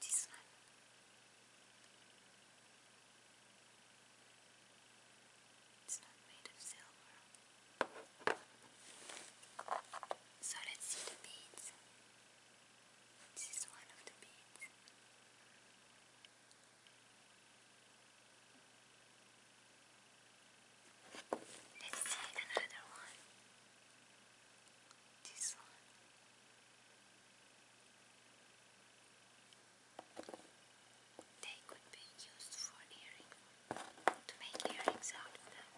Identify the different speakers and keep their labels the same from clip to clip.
Speaker 1: Decent. It's not made of silver. So let's see the beads. This is one of the beads. Let's take another one. This one. They could be used for earring, to make earrings out of them.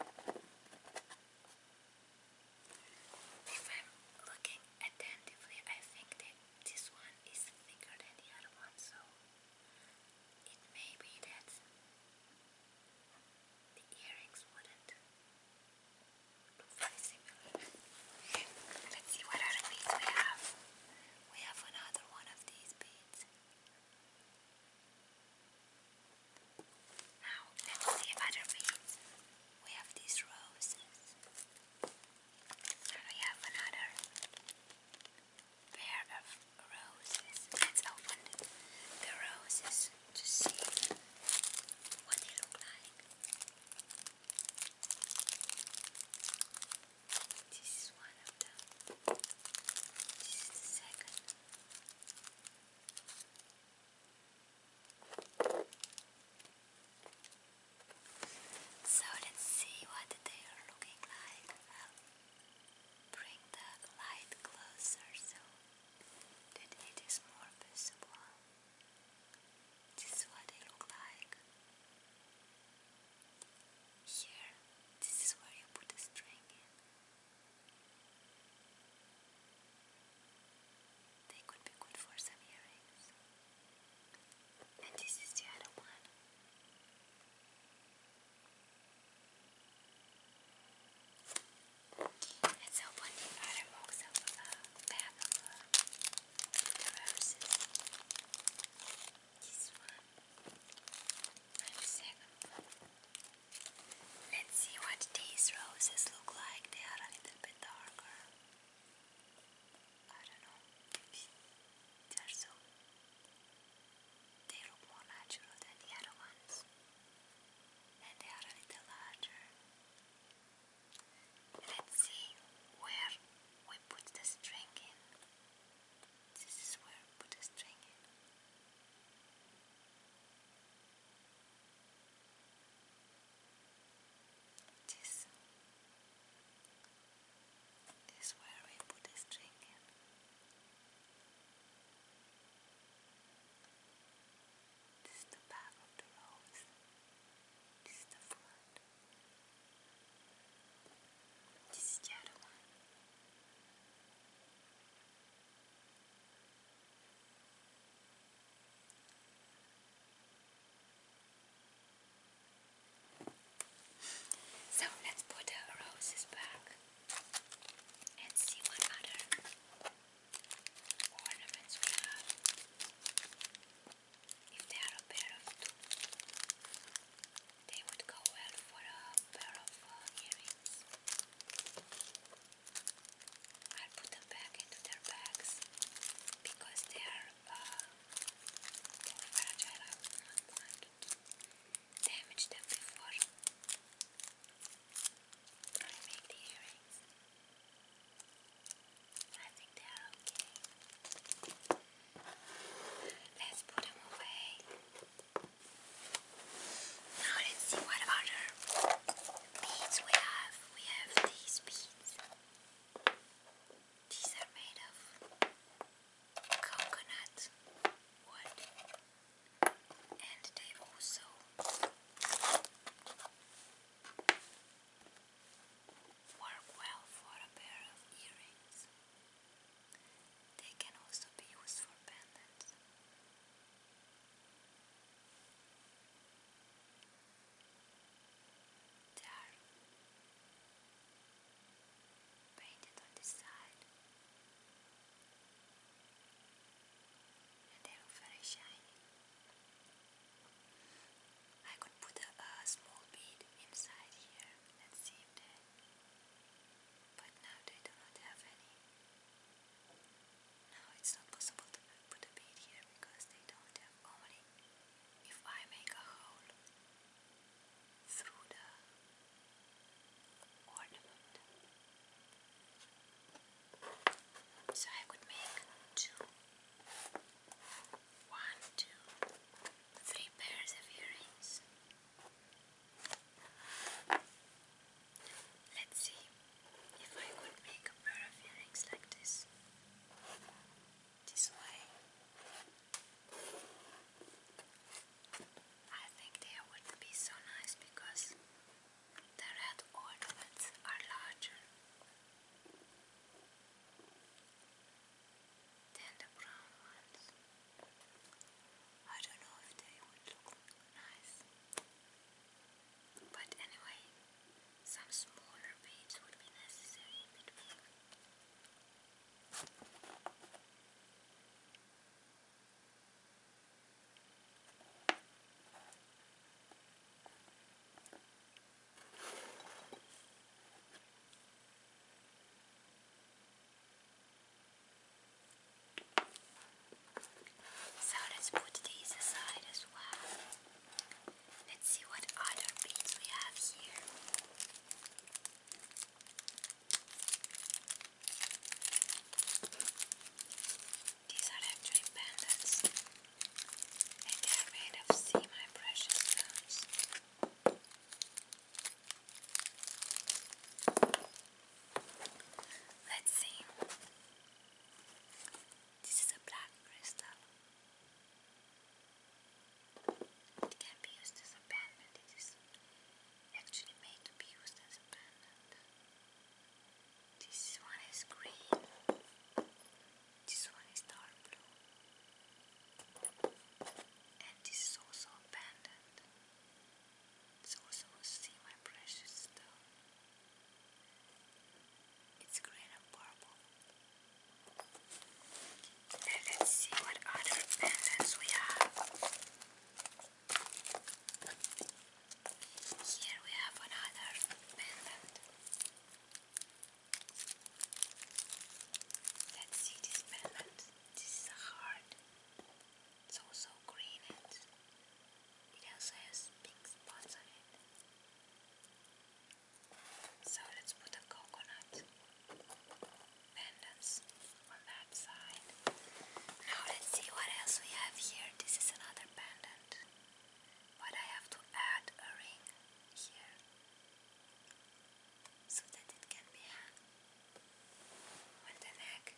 Speaker 1: If I'm looking attentively, I think they this one is thicker than the other one, so it may that the earrings wouldn't look very similar. Let's see what other beads we have. We have another one of these beads. Now, let's see other beads. We have these roses. And we have another pair of roses. Let's open the roses to see what they look like. This is one of them. This is the second. So let's see what they are looking like. bring the light closer so that it is more visible. This is what they look like. Here, this is where you put the string in. They could be good for some earrings. And this is the other one. Let's open the other box of uh, a of the roses. This one the second one. Let's see what these roses look like. They are a little bit darker. I don't know, maybe they They look more natural than the other ones, and they are a little larger. Let's see where we put the string in. This is where we put the string in. This is where we put the string in. This is the back of the rose. This is the front. This is the one. So let's put the roses back and see what other ornaments we have. If they are a pair of two, they would go well for a pair of uh, earrings. I'll put them back into their bags because they are uh, fragile. I would not want to damage them before I make the earrings. I think they are okay. Let's put them away. Now let's see what other beads we have. We have these beads. These are made of coconut wood. And they also work well for a pair of earrings. They can also be used for pendants. They are painted on this side and they look very shiny. I could put a, small bead inside here. Let's see if they but now they do not have any. Now it's not possible to put a bead here because they don't have only. If I make a hole through the ornament, so I could make two, one, two, three pairs of earrings. Let's see if I could make a pair of earrings like this. This way. I think they would be so nice because the red ornaments are larger than the brown ones. I don't know if they would look nice. But anyway, some smaller beads would be necessary so let's put these aside as well. Let's see what other beads we have here. These are actually pendants and they are made of semi precious stones. Let's see. This is a black crystal. It can be used as a pendant. It is actually made to be used as a pendant. This one is green. This one is dark blue and this is also a pendant. It's also see my precious stone. It's green and purple. And let's see what other pendants we have. Here we have another pendant. Let's see this filament. This is a heart. It's also green and it also has pink spots on it. So let's put a coconut pendants on that side. Now let's see what else we have here. This is another pendant. But I have to add a ring here so that it can be hung uh, on the neck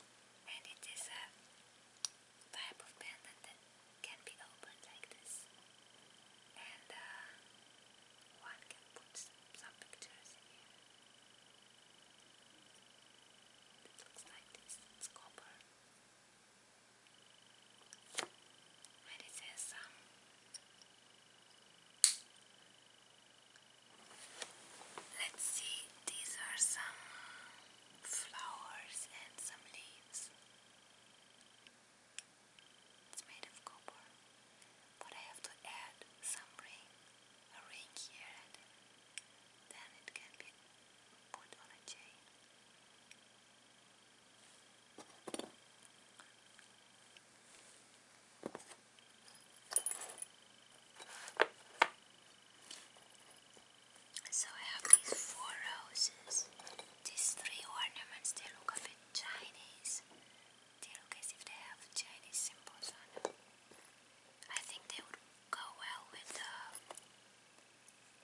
Speaker 1: and it is a type of pendant that can be opened like this and uh, one can put some pictures in here it looks like this, it's copper and it has some um, Let's see, these are some flowers and some leaves. It's made of copper, but I have to add some ring, a ring here, and then it can be put on a chain. So I have these four roses. These three ornaments, they look a bit Chinese. They look as if they have Chinese symbols on them. I think they would go well with the uh,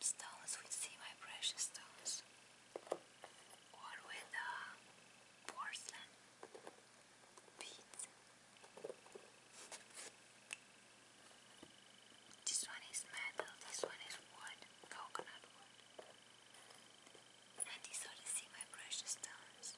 Speaker 1: stones, We see my precious stones or with a uh, porcelain beads. This one is metal, this one is wood, coconut wood. And these are the see my precious stones.